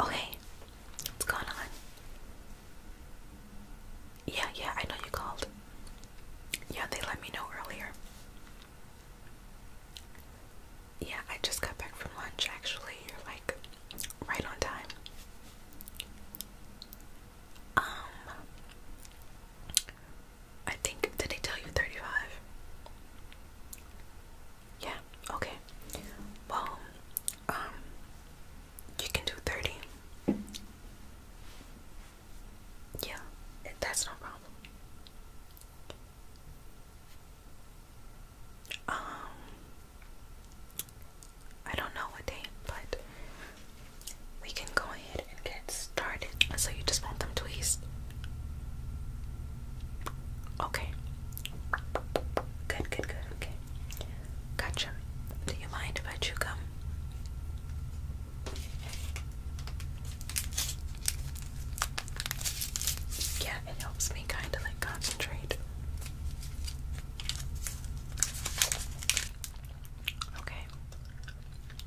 Okay, what's going on? Yeah, yeah, I know you called. Yeah, they let me know earlier. Yeah, I just got back from lunch actually. You're like right on time. Um I think did they tell you 35? Yeah, okay. Well, um, you can do 30. Yeah, that's no problem. Um, I don't know what day, but we can go ahead and get started. So you just want them tweezed? Okay. Good, good, good. Okay. Gotcha. Do you mind if I chew gum? Yeah, it helps me kind of like concentrate. Okay.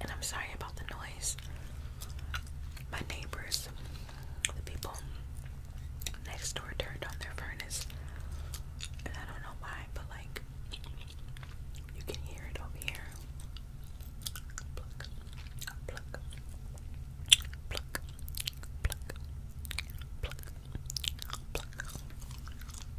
And I'm sorry about the noise. My neighbors, the people next door, turned on their furnace. And I don't know why, but like, you can hear it over here.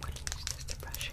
What is this depression?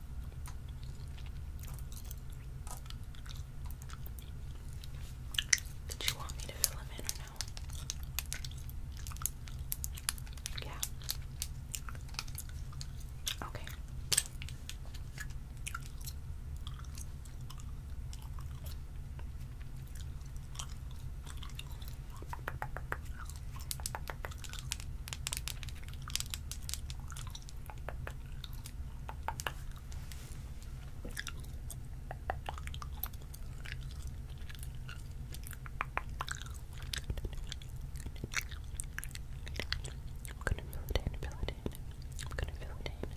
Did you want me to fill them in or no? Yeah. Okay. I'm gonna fill it in, fill it in. I'm gonna fill it in.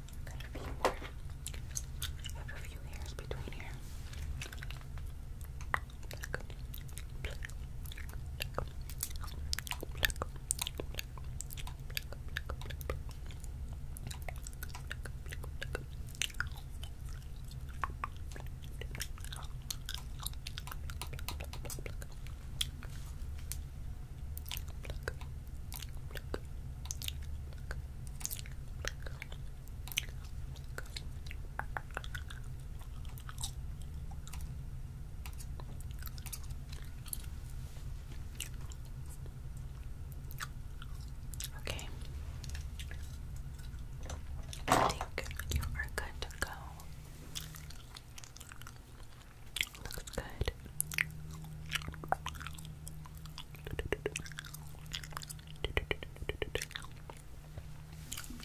Got a few more. Have a few hairs between here. Pluck. Okay. I think you are good to go. Looks good.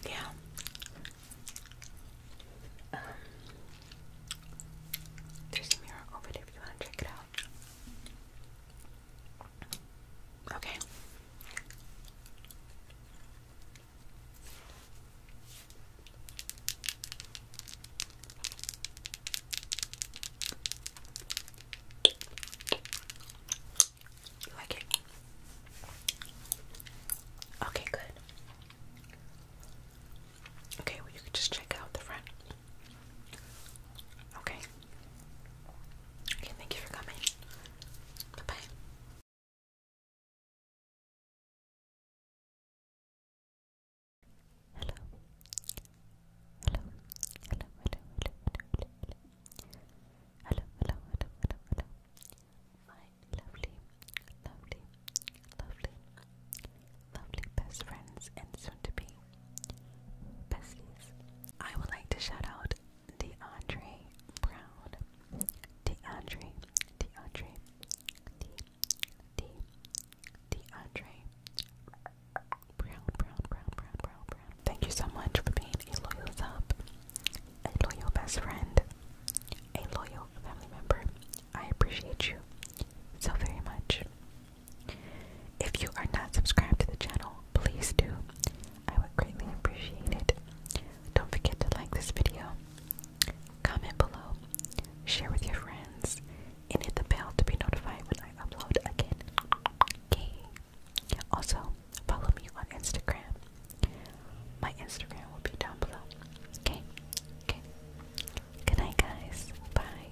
Yeah. Um, there's a mirror over if you want to check it out. Okay. You like it? Okay, good. Okay, well, you can just check out the front. Okay. Okay, thank you for coming. Bye bye. Hello. Hello. Hello. Hello. Hello. Hello. Hello. Hello. Hello. My lovely, lovely, lovely, lovely best friends and soon to be besties. I would like to shout out DeAndre Brown. DeAndre DeAndre, De, De, DeAndre, Brown, Brown, Brown, Brown, Brown, Brown. Thank you so much for being a loyal sub, a loyal best friend, a loyal family member. I appreciate you so very much. If you are not subscribed to the channel, please do. I would greatly appreciate it. Don't forget to like this video, comment below, share with your friends, and hit the bell to be notified when I upload again. Okay. Also, follow me on Instagram. My Instagram will be down below. Okay. Okay. Good night, guys. Bye.